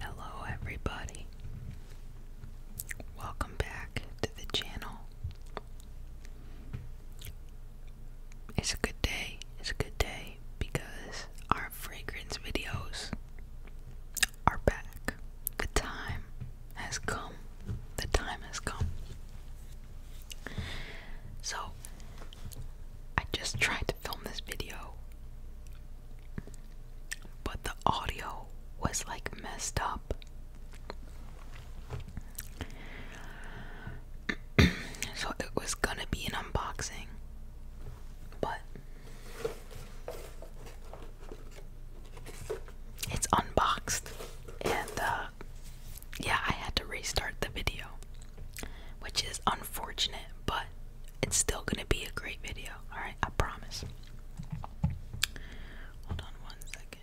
Hello, everybody. Welcome back to the channel. It's a good day. It's a good day because our fragrance videos are back. The time has come. The time has come. So, I just tried to film this video, but the audio was like messed up. so it was gonna be an unboxing, but it's unboxed, and uh, yeah, I had to restart the video which is unfortunate, but it's still gonna be a great video. All right, I promise. Hold on one second.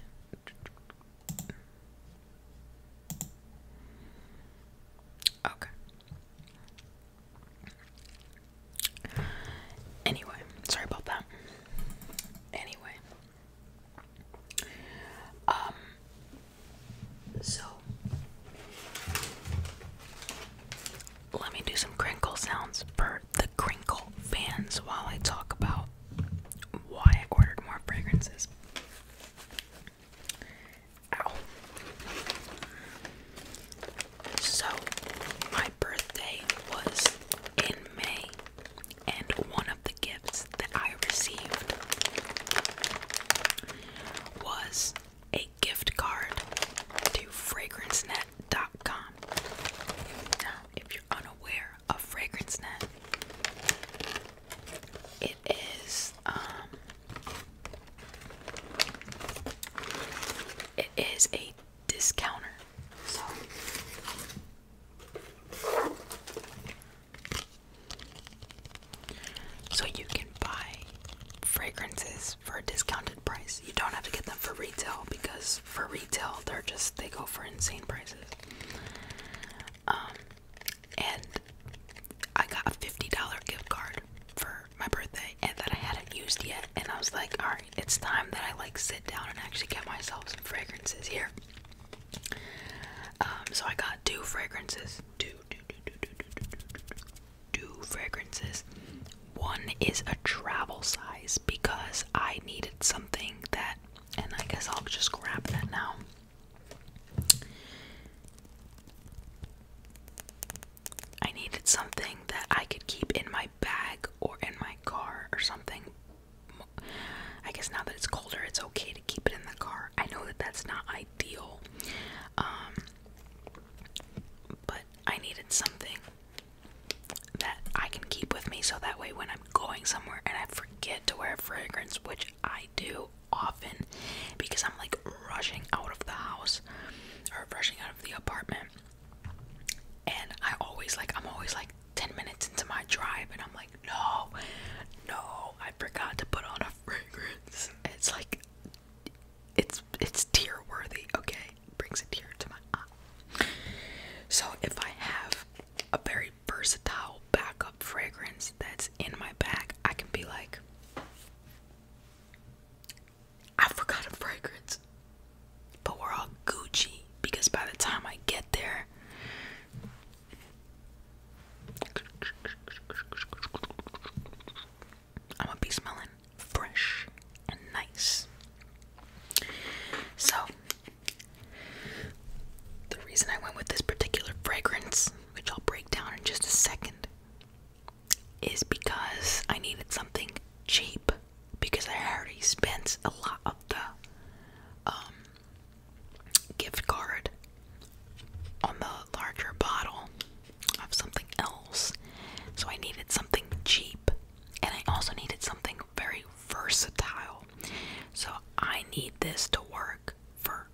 Okay. Anyway, sorry about that. Anyway, um, so, let me do some crinkle sounds for the crinkle fans while I talk about why I ordered more fragrances. Ow. So, my birthday was in May, and one of the gifts that I received was a gift card to FragranceNet.com. Now, if you're unaware of FragranceNet, it is um, it is a discounter. So you can buy fragrances for a discounted price. You don't have to get them for retail because for retail they're just they go for insane prices. Um and I got a $50 gift card for my birthday and that I hadn't used yet and I was like, alright, it's time that I like sit down and actually get myself some fragrances here. Um, so I got two fragrances, two two, two, two, two, two, two, two fragrances. One is a travel size because I needed something that, and I guess I'll just grab that now. I needed something that I could keep in my bag or in my car or something. I guess now that it's colder, it's okay to keep it in the car. I know that that's not ideal um, but I needed something that I can keep with me so that way when I'm going somewhere and I forget to wear fragrance, which I do often because I'm like rushing out of the house or rushing out of the apartment. And I always like, I'm always like 10 minutes into my drive and I'm like, no, no, I forgot to put on a fragrance. It's like it's it's tear worthy, okay? It brings a tear to my eye. So if I have a very versatile backup fragrance that's in my bag, I can be like I forgot a fragrance. But we're all Gucci because by the time I get there I'm gonna be smelling fresh and nice. So, the reason I went with this particular fragrance, which I'll break down in just a second, is because I needed something cheap because I already spent a lot of the um, gift card on the larger bottle of something else. So I needed something cheap and I also needed something very versatile. So I need this to work for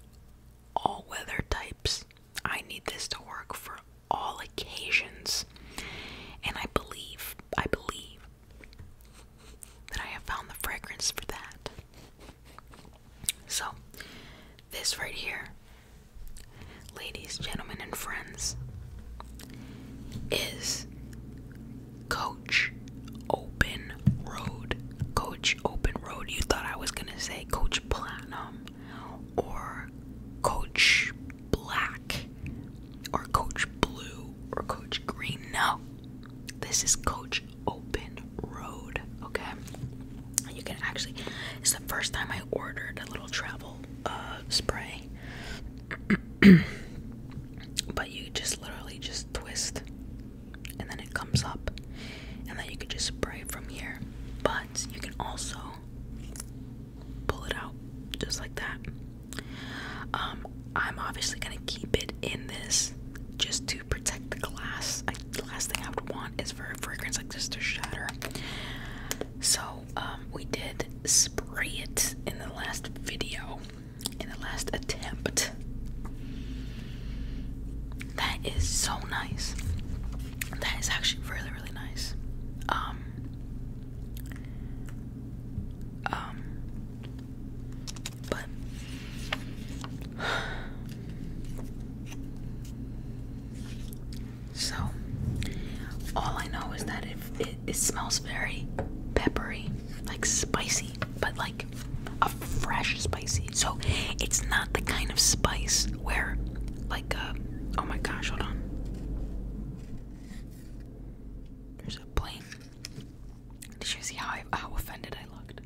all weather types. I need this to work for all occasions. And I believe, I believe that I have found the fragrance for that. So, this right here, ladies, gentlemen, and friends, is Coach Open Road. Coach Open Road. You thought I was going to say Coach Platinum or Coach Black or Coach Blue or Coach Green. No, this is Coach open road. Okay, and you can actually. It's the first time I ordered a little travel uh, spray, but you just literally just twist, and then it comes up, and then you can just spray from here. But you can also pull it out just like that. Um, I'm obviously gonna keep it in this just to protect the glass. I, the last thing I would want is for a fragrance like this to shatter. So um, we did spray it in the last video, in the last attempt. That is so nice. That is actually really, really nice. Um, um, but so all I know is that it, it smells very peppery, like spicy, but like a fresh spicy. So it's not the kind of spice where like uh, oh my gosh, hold on. There's a plane. Did you see how how offended I looked?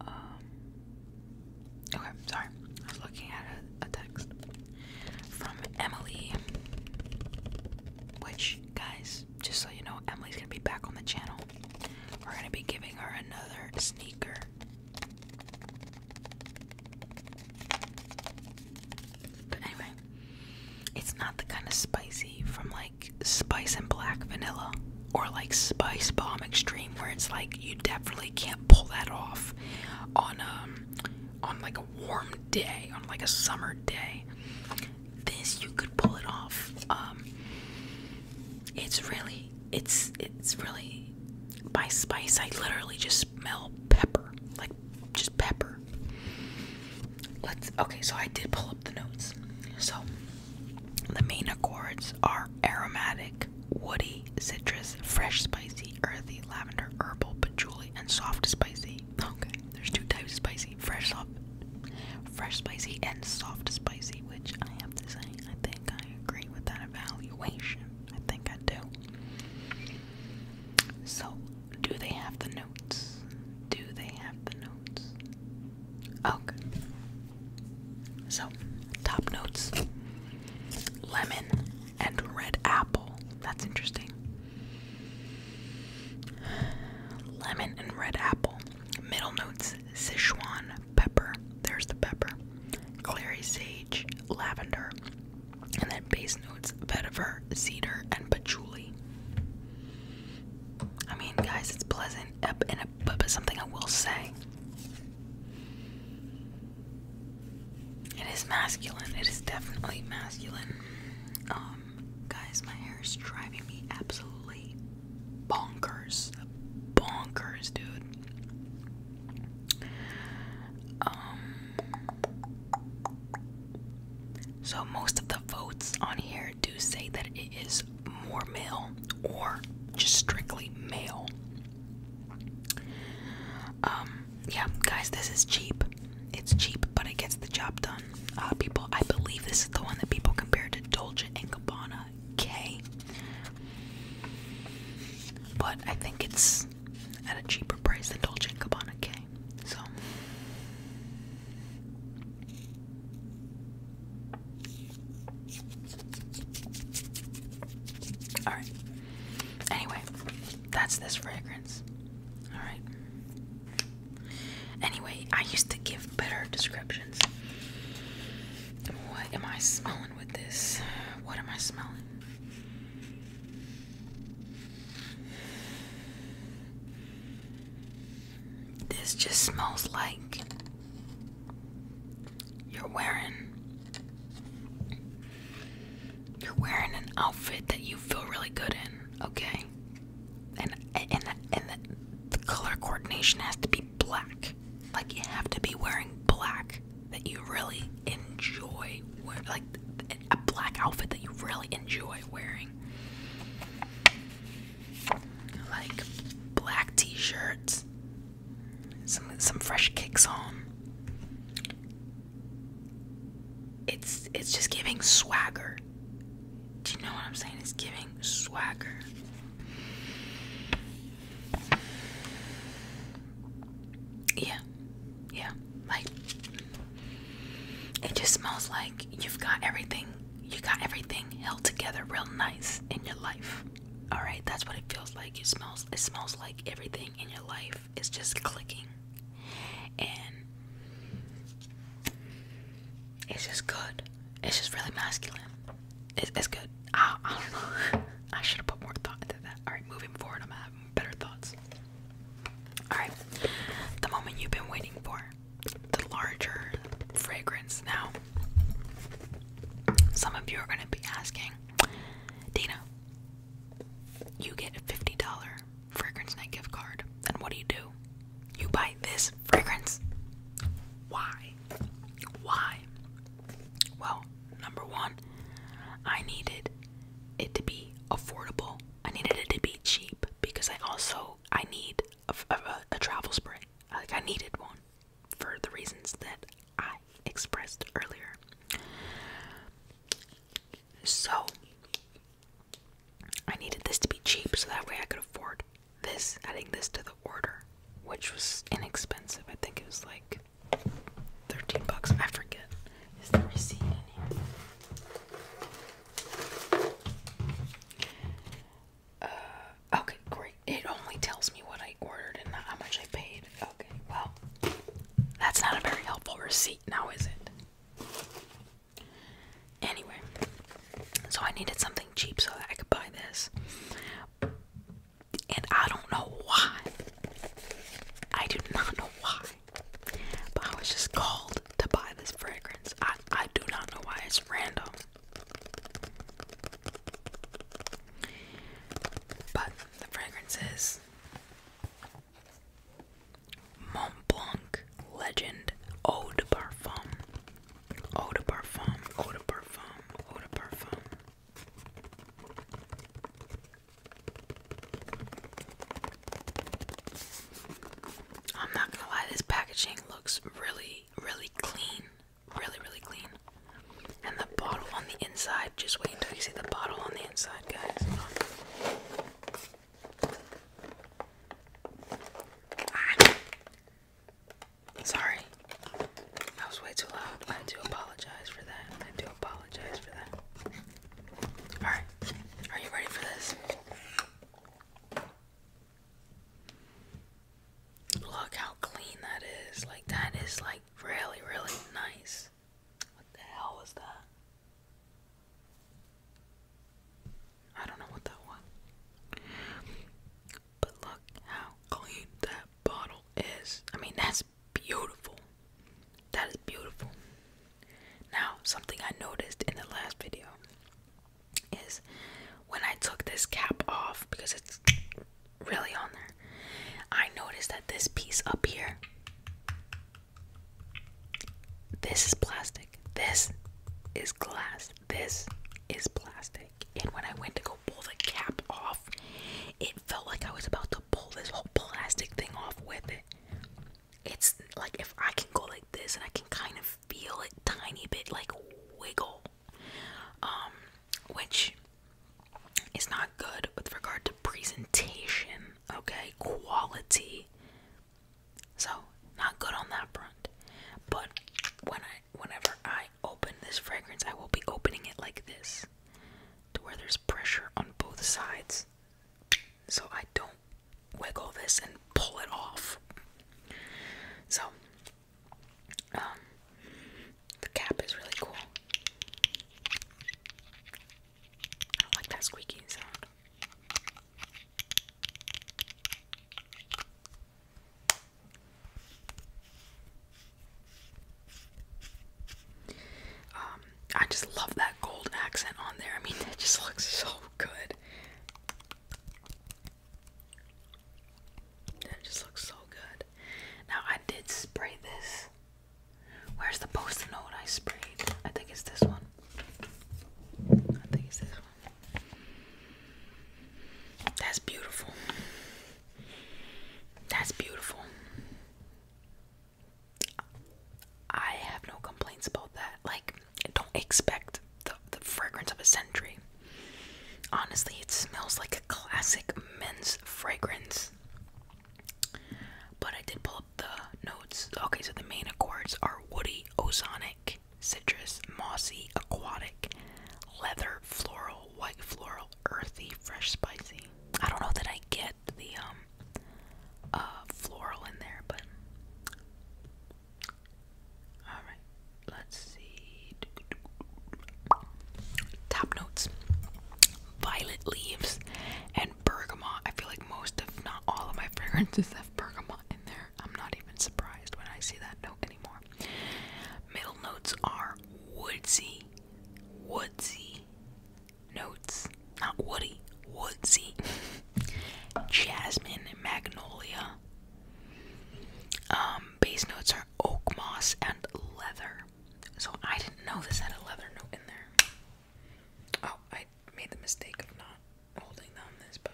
Um, okay, sorry. I was looking at a, text from Emily, which guys, just so you know, Emily's gonna be back on the channel. We're gonna be giving her another sneaker. anyway, it's not the kind of spicy from like spice and black vanilla or like spice bomb extreme where it's like you definitely can't pull that off on um on like a warm day, on like a summer day. This you could pull it off. Um it's really it's it's really by spice I literally just smell pepper. Like just pepper let's okay, so I did pull up the notes. So the main accords are aromatic, woody, citrus, fresh, spicy, earthy, lavender, herbal, patchouli, and soft spicy. Okay, there's two types of spicy, fresh soft fresh spicy and soft spicy, which I have to say I think I agree with that evaluation. I think I do. So do they have the notes? Do they have the notes? Okay. Oh, so, top notes lemon and red apple. That's interesting. Lemon and red apple. Middle notes Sichuan pepper. There's the pepper. Clary sage, lavender. And then base notes vetiver, cedar, and patchouli. I mean, guys, it's pleasant, but something I will say. It is masculine. It is definitely masculine. Um, guys, my hair is driving me absolutely bonkers, bonkers, dude. Um, so most of the votes on here there do say that it is more male or just strictly male. Um, yeah, guys, this is cheap. It's cheap, but it gets the job done. Uh, people, I believe this is the one that people compare to Dolce and Gabbana K. But I think it's at a cheaper price than Dolce and Gabbana K. So all right. Anyway, that's this fragrance. All right. Anyway, I used to give better descriptions. What am I smelling with this? What am I smelling? This just smells like you're wearing you're wearing an outfit that you feel really good in, okay? And and and the, color coordination has to be black. Like you have to be wearing black that you really enjoy. Like a black outfit that you really enjoy wearing. Like black t-shirts, some some fresh kicks on. It's it's just giving swagger. Do you know what I'm saying? It's giving swagger. Yeah. Yeah. Like it just smells like you've got everything you got everything held together real nice in your life. Alright, that's what it feels like. It smells it smells like everything in your life is just clicking. And it's just good. It's just really masculine. It's, good. I, I don't know. I should have put more thought into that. Alright, moving forward, I'm gonna have better thoughts. Alright, the moment you've been waiting for the larger fragrance now. Some of you are going to be asking, Dina, you get a $50 fragrance night gift card, Then what do you do? You buy this fragrance. Why? Why? Well, number one, I needed it to be affordable I needed it to be cheap because I also I need a, a, travel spray. Like I needed one for the reasons that I expressed earlier. So I needed this to be cheap so that way I could afford this, adding this to the order, which was inexpensive. I think it was like 13 bucks. I forget. Is the receipt in here? Uh, okay, great. It only tells me what I ordered and how much I paid. Okay, well, that's not a very helpful receipt now, is it? Anyway, so I needed something cheap so that I could buy this. And I don't know why. I do not know why. But I was just called to buy this fragrance. I I do not know why it's random. But the fragrance is Mont Legend Eau de Parfum. Eau de Parfum. Eau de Parfum. Eau de Parfum. I'm not gonna lie, this packaging looks really, really clean. Really, really clean. And the bottle on the inside, just wait until you see the bottle on the inside, guys. Ah. Sorry, that was way too loud. I do apologize for that. I do apologize for that. Alright, are you ready for this? Look how clean that is. Like, that is like really, really nice. What the hell was that? I don't know what that was. But look how clean that bottle is. I mean, that's beautiful. That is beautiful. Now, something I noticed in the last video is when I took this cap off because it's really on there, I noticed that this piece up here, this is plastic, this is glass, this is plastic. And when I went to go pull the cap off, it felt like I was about to pull this whole plastic thing off with it it's like if I can go like this and I can kind of feel it tiny bit like wiggle, um, which is not good with regard to presentation, okay, quality. So not good on that front. But when I, whenever I open this fragrance, I will be opening it like this, to where there's pressure on both sides so I don't wiggle this and pull it off. So, um, the cap is really cool. I don't like that squeaking sound. Um, um, I just love that gold accent on there. I mean, it just looks so good. It just looks so good. Now, I did spray this. Where's the post note I sprayed? I think it's this one. I think it's this one. That's beautiful. That's beautiful. I have no complaints about that. Like, don't expect the, the fragrance of a century. Honestly, it smells like a classic men's fragrance. But I did pull up the notes. Okay, so the main accords are woody, ozonic, citrus, mossy, aquatic, leather, floral, white floral, earthy, fresh, spicy. I don't know that I get the um uh floral in there, but all right. Let's see. Top notes: violet leaves and bergamot. I feel like most, if not all, of my fragrances have bergamot in there. I'm not even surprised when I see that note anymore. Middle notes are woodsy, woodsy, notes, not woody, woodsy, jasmine, and magnolia. Um, base notes are oak moss and leather. So I didn't know this had a leather note in there. Oh, I made the mistake of not holding down this, but.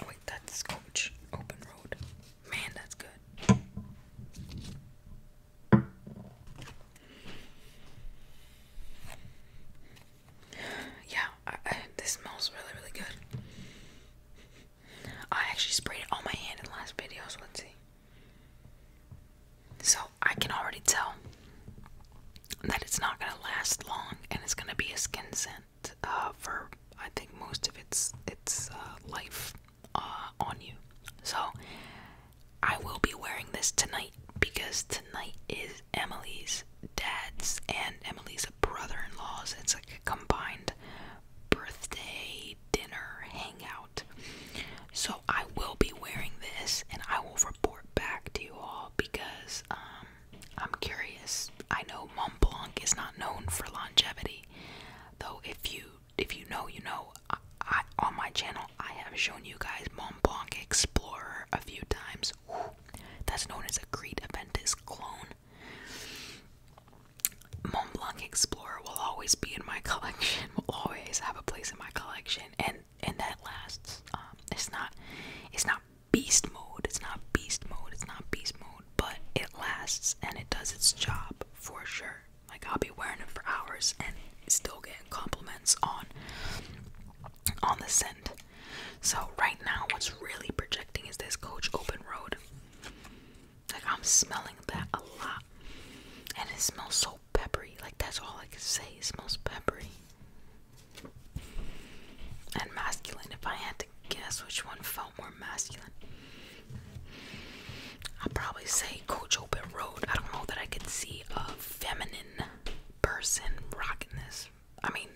Oh, wait, that's coach. Open road. Man, that's good. Yeah, this smells really, really good. I actually sprayed it on my hand in last videos. let's see. So I can already tell that it's not gonna last long and it's gonna be a skin scent. Uh, for I think most of its its uh, life uh, on you. So I will be wearing this tonight because tonight is Emily's dad's and Emily's brother-in-law's. It's like a combined birthday dinner hangout. So I will be wearing this and I will report back to you all because um, I'm curious. I know Montblanc is not known for longevity, though. If you if you know, you know. I, on my channel, I have shown you guys Montblanc Explorer a few times. that's known as a Great Aventus clone. Montblanc Explorer will always be in my collection. Will always have a place in my collection, and and that lasts. Um, it's not it's not beast mode. It's not beast mode. It's not beast mode, but it lasts and it does its job for sure. Like I'll be wearing it for hours and still getting compliments on on the scent. So right now what's really projecting is this Coach Open Road. Like I'm smelling that a lot. And it smells so peppery. Like that's all I can say. It smells peppery and masculine. If I had to guess which one felt more masculine, I'd probably say Coach Open Road. I don't know that I could see a feminine person rocking this. I mean,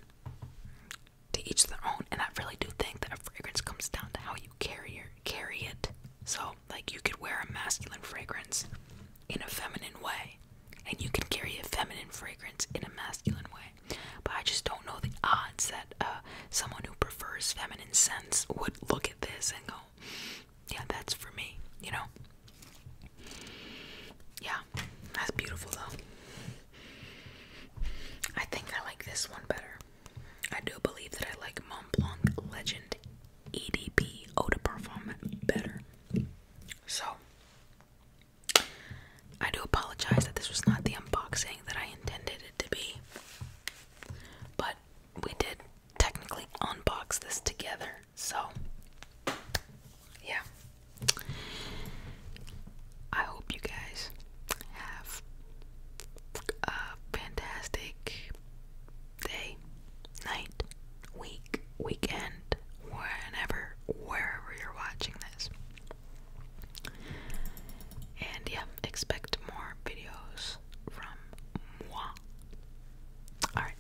to each their own, and I really do think that a fragrance comes down to how you carry carry it. So, like, you could wear a masculine fragrance in a feminine way, and you can carry a feminine fragrance in a masculine way. But I just don't know the odds that uh, someone who prefers feminine scents would look at this and go, yeah, that's for me, you know? Yeah, that's beautiful though. I think I like this one better. I do believe that I like Mont Blanc Legend EDP Eau de Parfum better. So, I do apologize that this was not the unboxing that I intended it to be, but we did technically unbox this together, so yeah. I hope you guys have a fantastic day, night, week, weekend, whenever, wherever you're watching and yeah, expect more videos from moi. Alright,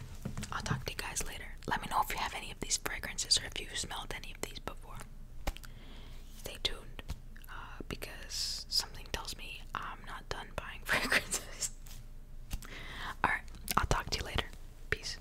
I'll talk to you guys later. Let me know if you have any of these fragrances or if you smelled any of these before. Stay tuned uh, because something tells me I'm not done buying fragrances. Alright, I'll talk to you later. Peace.